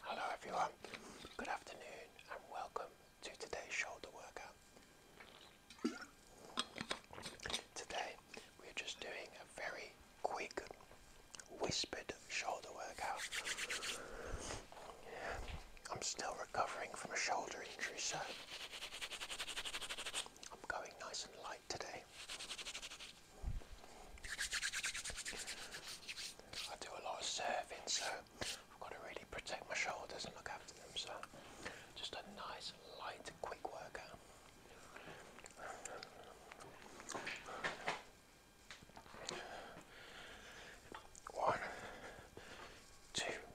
Hello everyone, good afternoon and welcome to today's shoulder workout. Today we're just doing a very quick whispered shoulder workout. I'm still recovering from a shoulder injury, so I'm going nice and light today. I do a lot of serving, so I've got to really protect my shoulders and look after them, so just a nice, light, quick workout. One, two,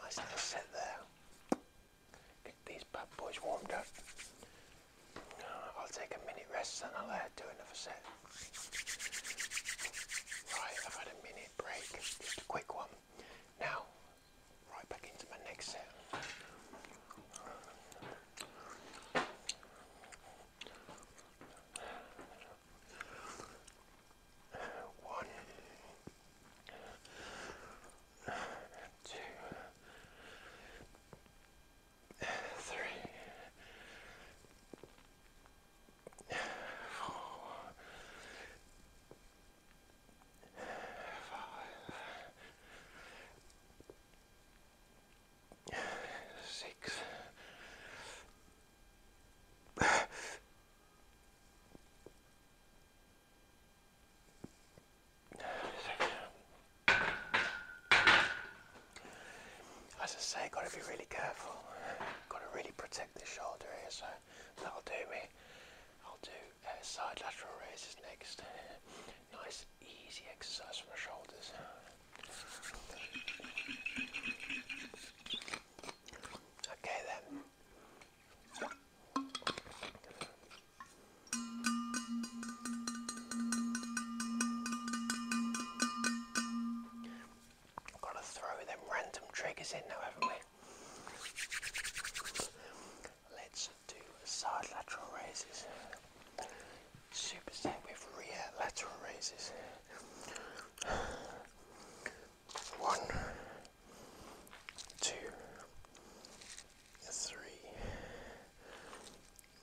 Nice little set there. Get these bad boys warmed up. I'll take a minute rest and I'll do another set. Right, I've had a minute break, just a quick one. Now, right back into my next set. One, two, three, four, five, six. Seven, as I say, got to be really careful. Got to really protect this shoulder here, so that'll do me. I'll do uh, side lateral raises next. Nice, easy exercise for the shoulders. Okay then. Gotta throw them random triggers in now, haven't we? Let's do side lateral raises, superset with rear lateral raises. One, two, three,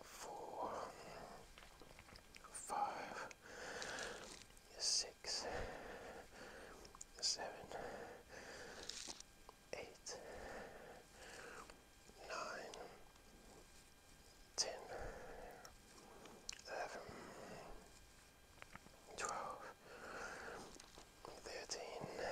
four, five, six, seven, eight, nine, ten, eleven, twelve, thirteen. 14,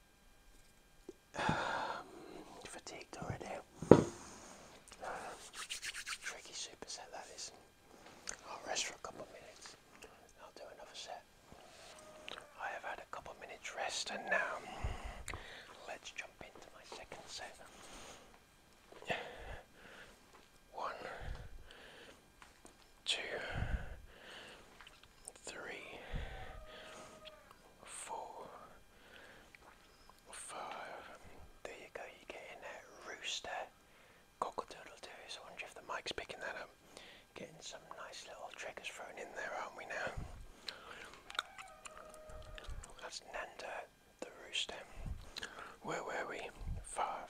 fatigued already. tricky super that is. I'll rest for a couple of minutes. I'll do another set. I have had a couple of minutes rest and now let's jump into my second set. One, two, three, four, five. There you go, you're getting that rooster cockatoodle So I wonder if the mic's picking that up. Getting some nice little triggers thrown in there, aren't we now? That's Nanda the rooster. Where were we? Five,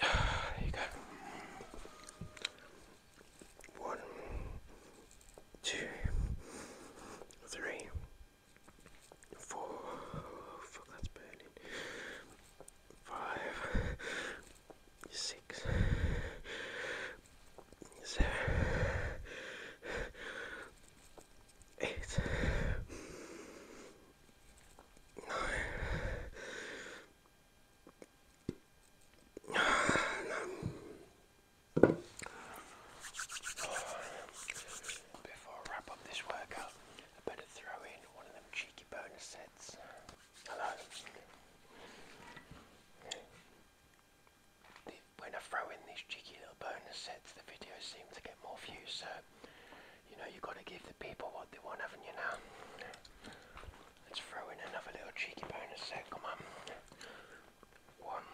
there you go. One, two, three, four. Fuck, that's burning. Five, six, seven, eight. Before I wrap up this workout, I better throw in one of them cheeky bonus sets. Hello. When I throw in these cheeky little bonus sets, the video seem to get more views, so you know, you've got to give the people what they want, haven't you now? Let's throw in another little cheeky bonus come on. One,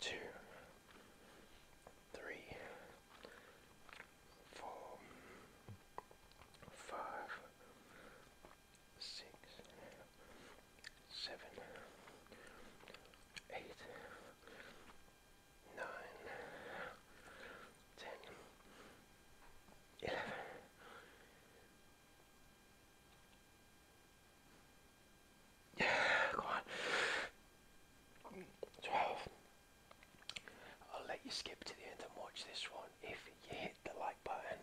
two, three, four, five, six, seven, eight, nine, ten, eleven, yeah, go on, twelve. I'll let you skip to the end and watch this one if you hit the like button.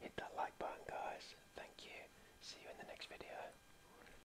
Hit that like button, guys. Thank you. See you in the next video.